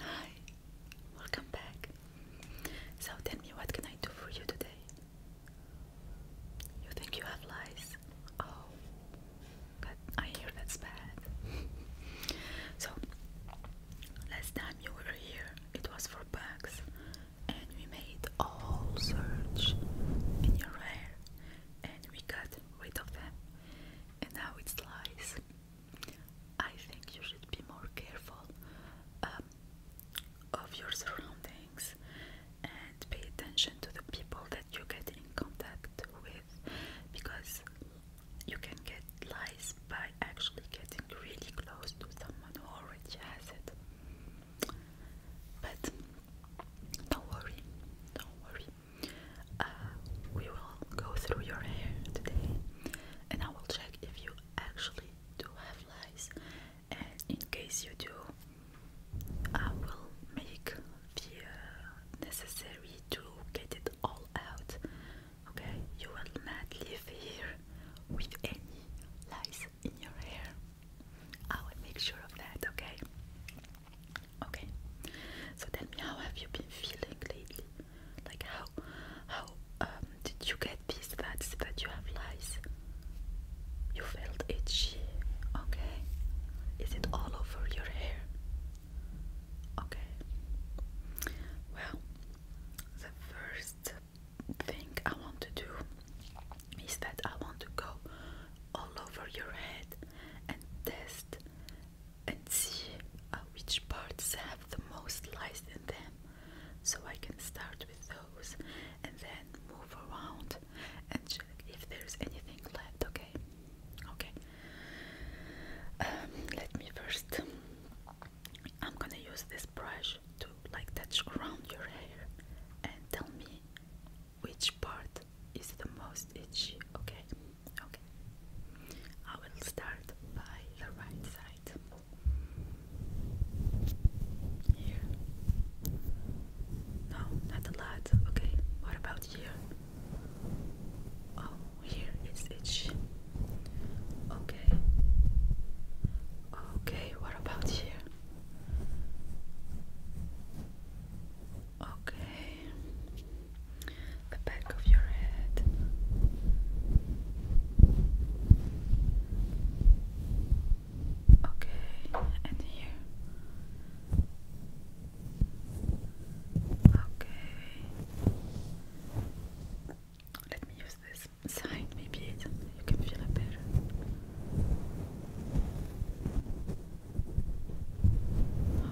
Hi, welcome back. So tell me, what can I do for you today? You think you have lice? Oh, but I hear that's bad. so last time you were here, it was for bugs, and we made a whole search in your hair, and we got rid of them, and now it's lice. I think you should be more careful um, of your surroundings and pay attention to the people that you get in contact with because you can get lies by actually getting really close to someone who already has it. But don't worry, don't worry. Uh, we will go through your hair today and I will check if you actually do have lice and in case you do I will make the uh, necessary to get it all out okay you will not leave here with any lice in your hair I will make sure of that okay okay so tell me how have you been feeling lately like how how um, did you get these fats that you have lies. You felt itchy, okay? Is it all over your hair? Okay. Well, the first thing I want to do is that I want to go all over your head and test and see which parts have the most lice in them. So I can start with those and then move around and check if there's anything left, okay? Okay. Um, let me first. I'm gonna use this brush to like touch around your hair and tell me which part is the most itchy, okay? Okay. I will start by the right side. Here. No, not a lot. Okay. What about here? Oh, here it's Okay. Okay, what about here? Okay the back of your head. Okay, and here. Okay. Let me use this side, maybe you can feel better.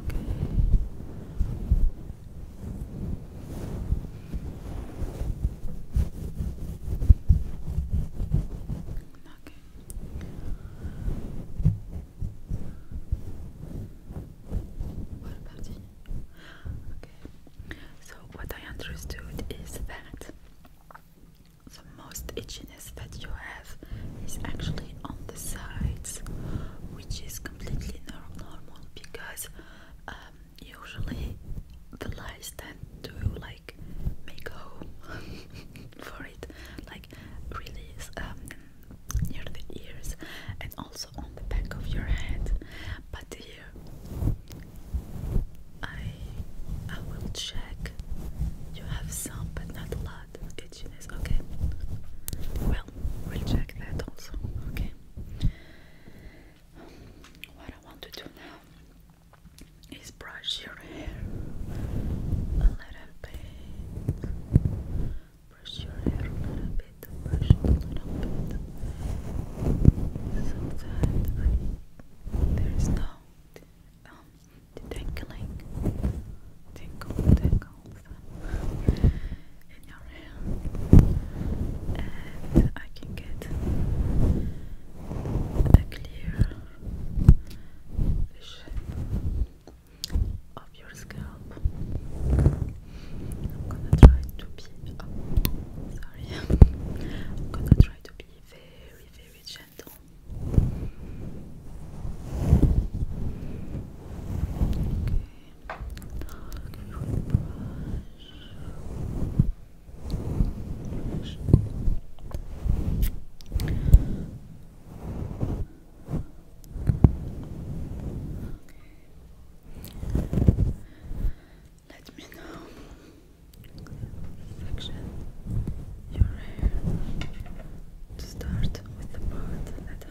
Okay. Okay. What about you? Okay. So what I understood is that the most itchiness that you have is actually on the sides, which is completely normal because um, usually the lice tend to like make a home for it, like really is um, near the ears and also on the back of your head. But here, I I will check. You have some, but not a lot. Itchiness, okay. Well, we'll check that also. Okay. What I want to do now is brush your hair a little bit. Brush your hair a little bit, brush it a little bit. So that there is no um, the tinkling mouth in your hand and I can get a clear vision of your scalp. gonna try to be sorry. gonna try to be very very gentle with brush. Let me know section your hair to start with the part that I've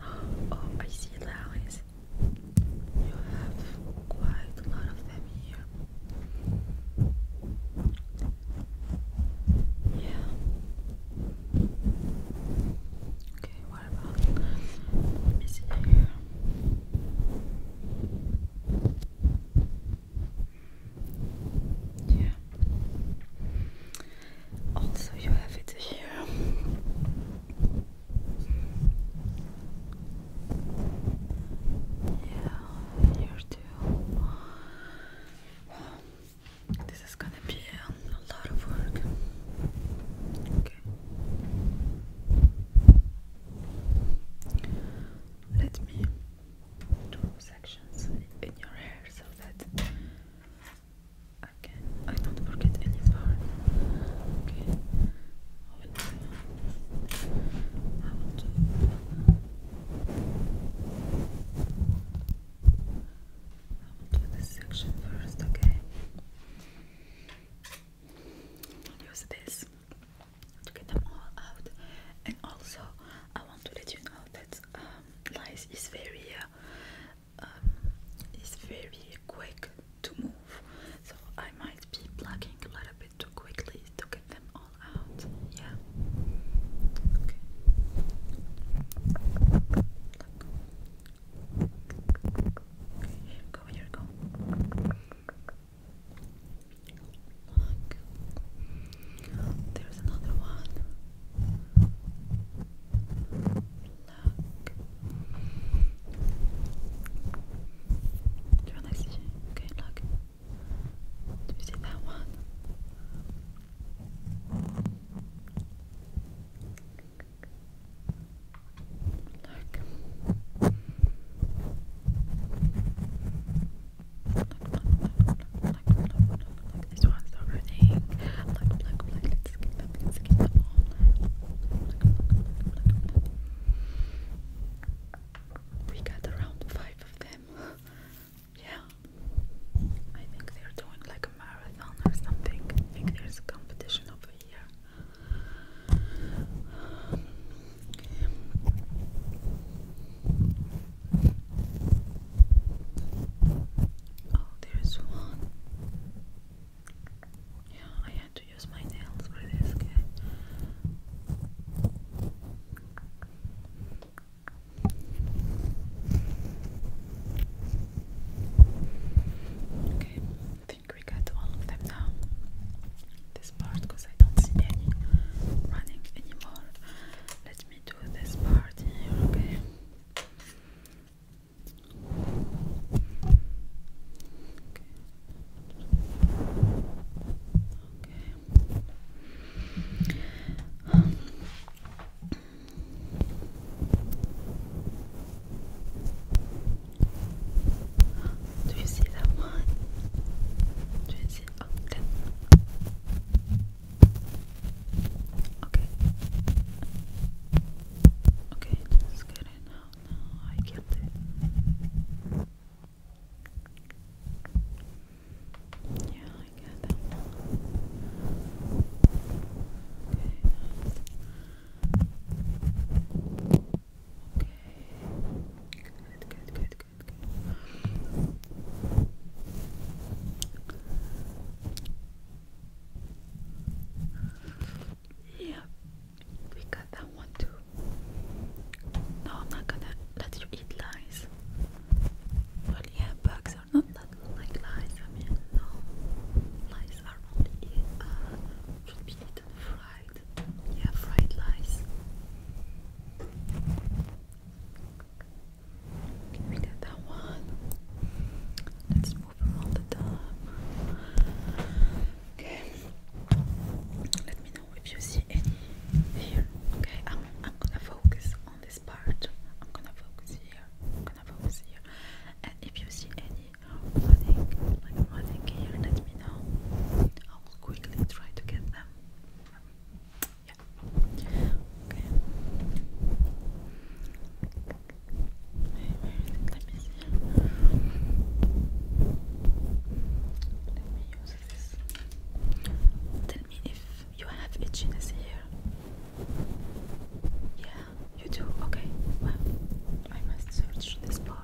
oh I see lions. You have quite a lot of them here. Yeah. Okay, what about let here? Yeah. Also, you have it here. Yeah, you too. This is gonna be a lot of work. Okay. Let me do sections in your hair so that Okay, I don't forget any part. Okay, I will do. I will do. I will do this section first. Okay. Use this to get them all out, and also I want to let you know that um, is very uh, um, it's very quick to move, so I might be plugging a little bit too quickly to get them all out. Yeah. Okay. here go, here go. There's another one look. Do you see that one? Look. Look, look, look, look, look, This one's already. Look, look, look, look, we got around five of them. yeah. I think they're doing like a marathon or something. I think there's a competition over here. Oh, there's one. Yeah, I had to use my nails for this Okay, I think we got all of them now. This part, because I don't see any running anymore. Let me do this part okay? Okay. Do you see that one? Do you see? Okay. Okay. Okay, just get it out now. I get it. Yeah, I get that Okay, Okay. Good, good, good, good, good. Yeah, we got that one too. No, I'm not gonna let you eat lies. Well, bugs are not that like lies. I mean, no, lies are only uh, should be eaten fried. Yeah, fried lies. we got that one. Let's Okay. Let me know if you see any here. Okay, I'm I'm gonna focus on this part. I'm gonna focus here. I'm gonna focus here. And if you see any running, running here, let me know. I will quickly try to get them. Yeah. Okay. Let Tell me if you have itchiness here. Yeah, you do. Okay. Well, I must search this part.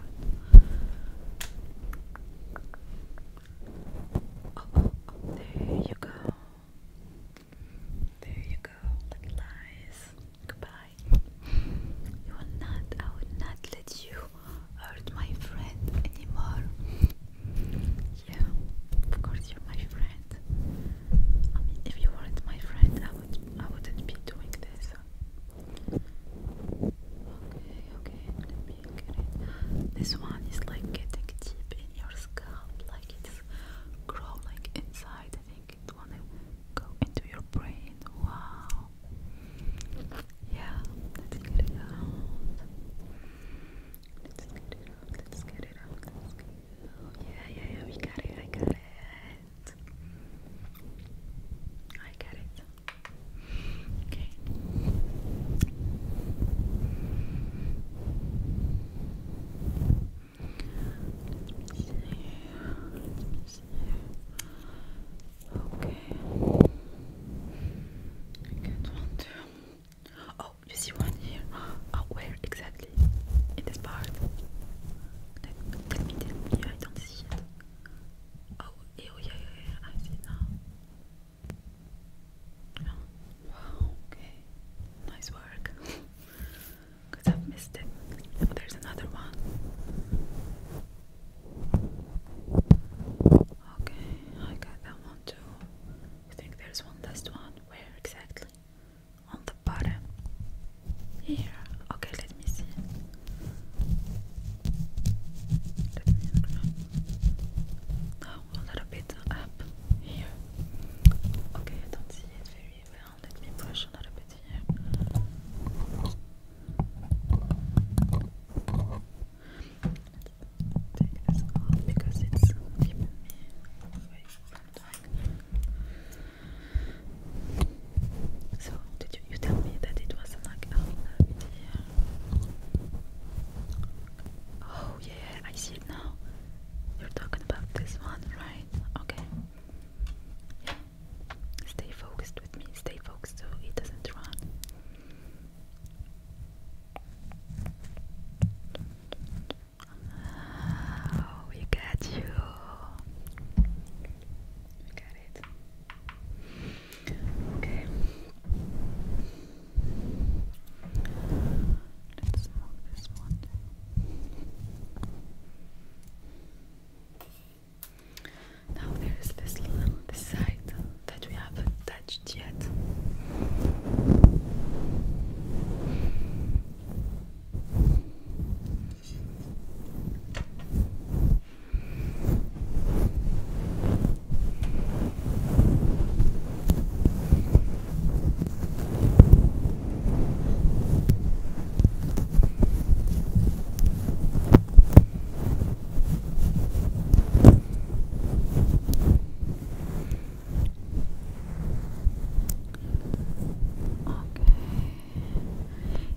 oh, oh, there you go. There you go. Goodbye. You will not, I will not let you hurt my friend anymore. Yeah, of course you're my friend. I mean, if you weren't my friend, I would, I wouldn't be doing this. Okay, okay, let me get it. This one is like getting deep in your scalp, like it's growing inside it wanna go into your brain. Wow. Yeah, let's get it out. Let's get it out. Let's get it out. Let's get it out. Yeah, yeah, yeah. We got it. I got it. I got it. Okay. Let me see. Let me see. Okay. I get one too. Oh, you see one here. Oh, where exactly? In this part. Let, me tell me. I it. Oh, oh, yeah, yeah, yeah. I see now. Oh, wow, okay. Nice work. because I've missed it. there's another one. Okay, I got one too. I think there's one last one. Where exactly? On the bottom. Here. Okay, let me see. Let me now oh, a bit up here. Okay, I do see it very well. Let me brush a little bit here. because it's me So, you, tell me that it was like Oh, yeah, I see it now. You're talking about this one, right? Okay. Stay focused with me, stay focused so it doesn't run. we got you. We got it. Okay. Let's move this one Now there is this little side that we haven't touched yet. Okay.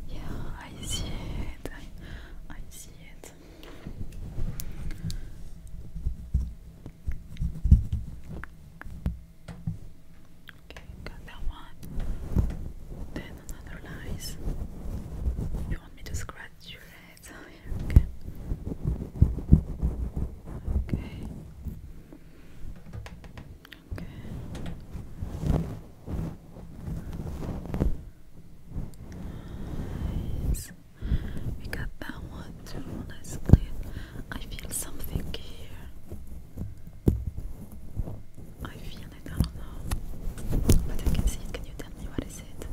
Yeah, I see it. I, see it. Okay, got that one. Then another lies. You want me to scratch your head? Oh, okay. Okay. Okay. Nice. We got that one too. That's clear. I feel something here. I feel like I don't know. But I can see it. Can you tell me what is it?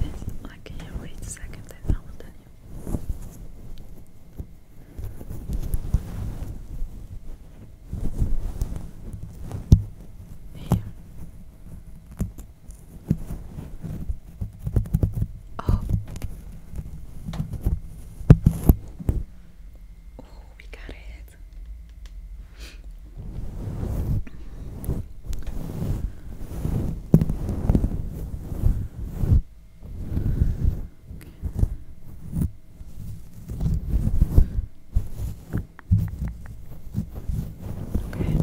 Yes, I can hear. Wait second, then I will tell you. Here. Oh. Oh, we got it. Okay.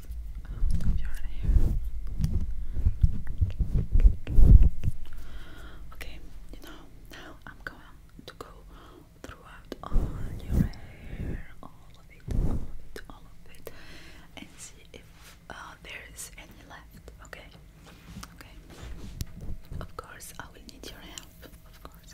Okay, you know, now I'm going to go throughout all your hair, all of it, all of it, all of it, and see if uh, there is any left. Okay, okay. Of course, I will need your help. Of course.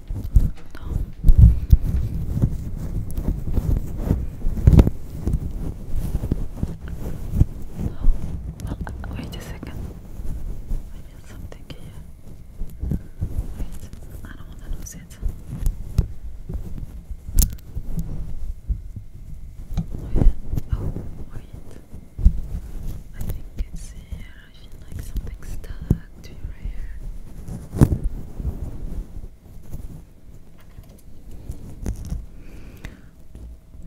Well, oh, wait a second. I feel something here. Wait, I don't want to lose it. oh, wait. I think it's here. I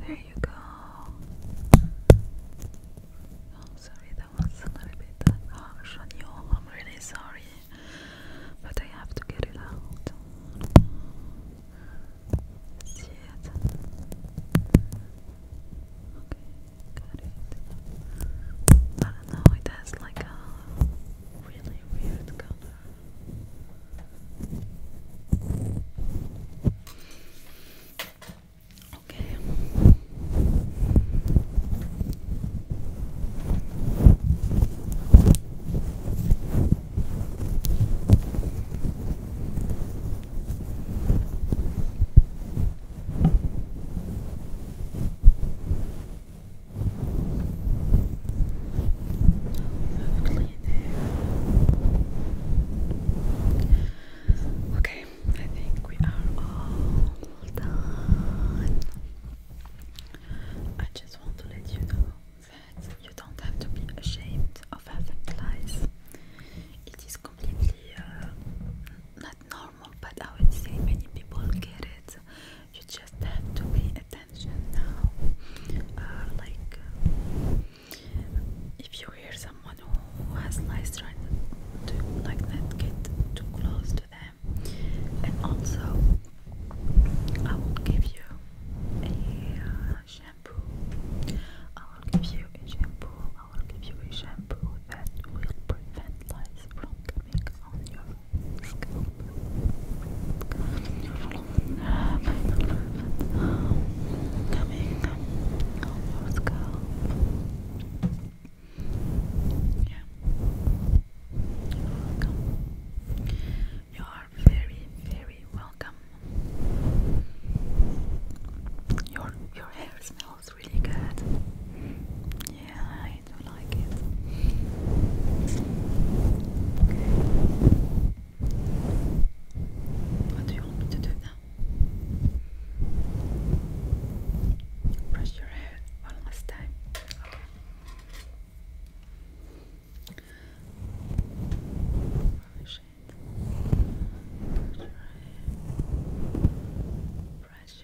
There you go. Oh, sorry, that was a little bit harsh on you. I'm really sorry, but I have to get it out. See it? Okay, got I don't know, it has like a um, really weird color. Okay. Okay, I think we are all done. I just want to let you know that you don't have to be ashamed of having lies. It is completely uh, not normal but I would say many people get it. You just have to pay attention now. Uh, like, if you hear someone who has lice, try to like not get too close to them. And also, I will give you a uh, shampoo. I will give you a shampoo I will give you a shampoo that will prevent lice from coming on your scalp. Yeah. welcome. You are very, very welcome. Your your hair smells it's really good. Yeah, I do like it. What do you want me to do now? Brush your hair one last time. Okay. Brush your hair. Brush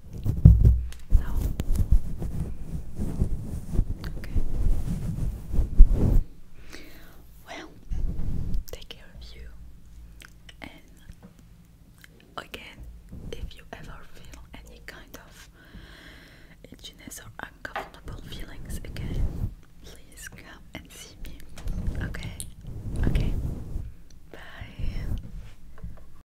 So, Well, take care of you. And again, if you ever feel any kind of itchiness or uncomfortable feelings again, please come and see me. Okay? Okay. Bye.